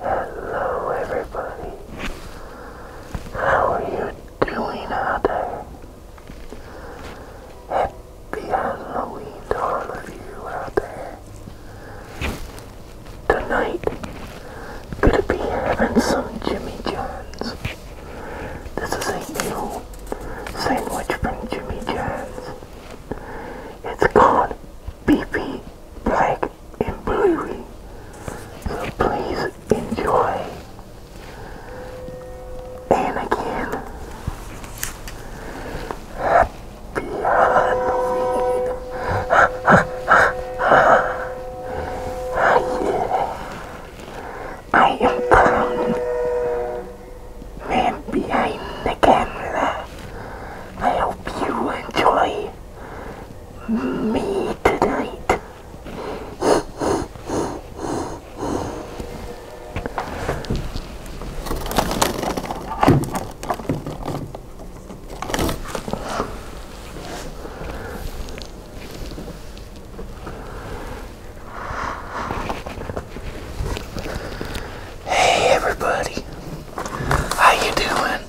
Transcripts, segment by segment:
Hello everybody. How are you doing out there? Happy Halloween to all of you out there. Tonight, gonna be having some Jimmy John's. This is a new sandwich from Jimmy John's. It's called Beefy Black and Bluey. So please enjoy. And again, happy Halloween. Ha, ha, ha, ha. Ah, yeah. I am clowning man behind the camera. I hope you enjoy me tonight. Hey everybody, how you doing?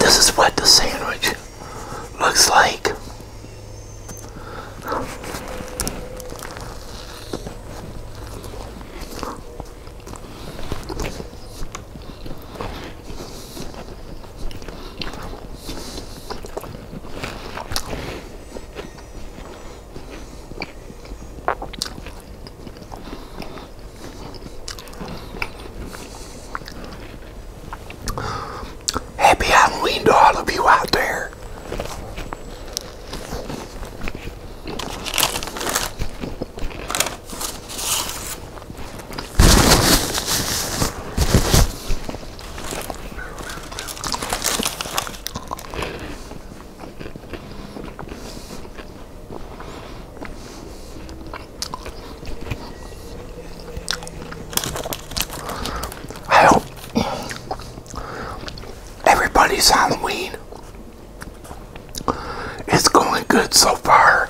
This is what the sandwich looks like. Happy Halloween to all of you out there. I hope everybody's Halloween is going good so far.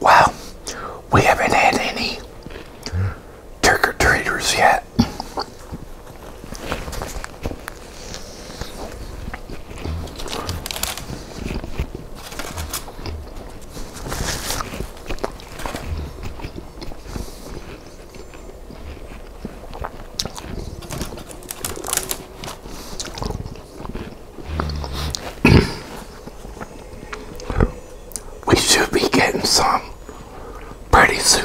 Well, we haven't had any trick or treaters yet we should be getting some pretty soon.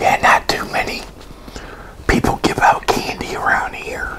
Yeah, not too many people give out candy around here.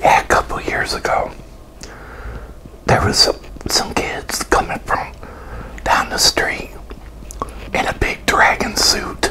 Yeah, a couple years ago, there was some, kids coming from down the street in a big dragon suit.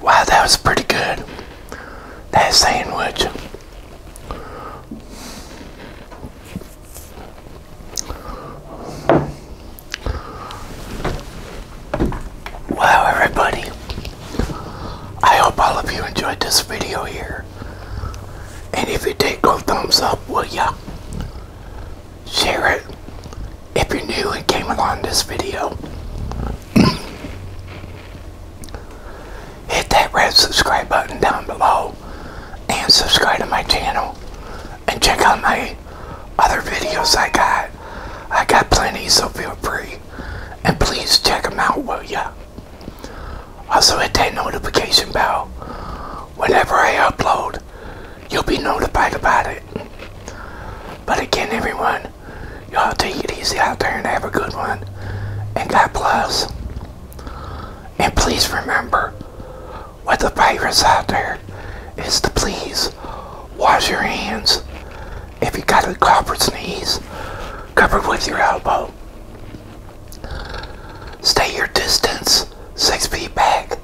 wow, that was pretty good. That sandwich. Wow, everybody. I hope all of you enjoyed this video here. And if you did, go thumbs up, will ya? share it if you're new and came along this video. Hit that red subscribe button down below and subscribe to my channel and check out my other videos I got. I got plenty so feel free and please check them out will ya. Also hit that notification bell whenever I upload you'll be notified about it. But again, everyone, y'all take it easy out there and have a good one. And God bless. And please remember, with the virus out there, is to please wash your hands. If you got a cough or sneeze, cover with your elbow. Stay your distance, six feet back.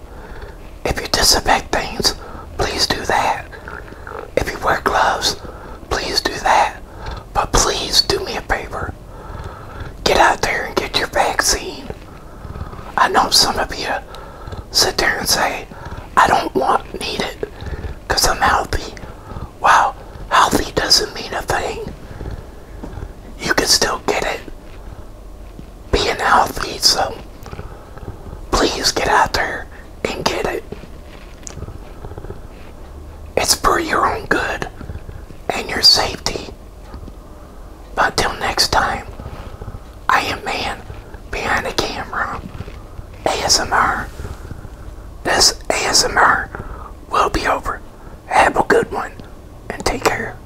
If you disinfect things, please do that. If you wear gloves, please do that. But please do me a favor. Get out there and get your vaccine. I know some of you sit there and say, I don't want, need it, because I'm healthy. Well, healthy doesn't mean a thing. You can still get it being healthy, so please get out there and get it. It's for your own good and your safety. Until next time, I am man behind the camera. ASMR. This ASMR will be over. Have a good one and take care.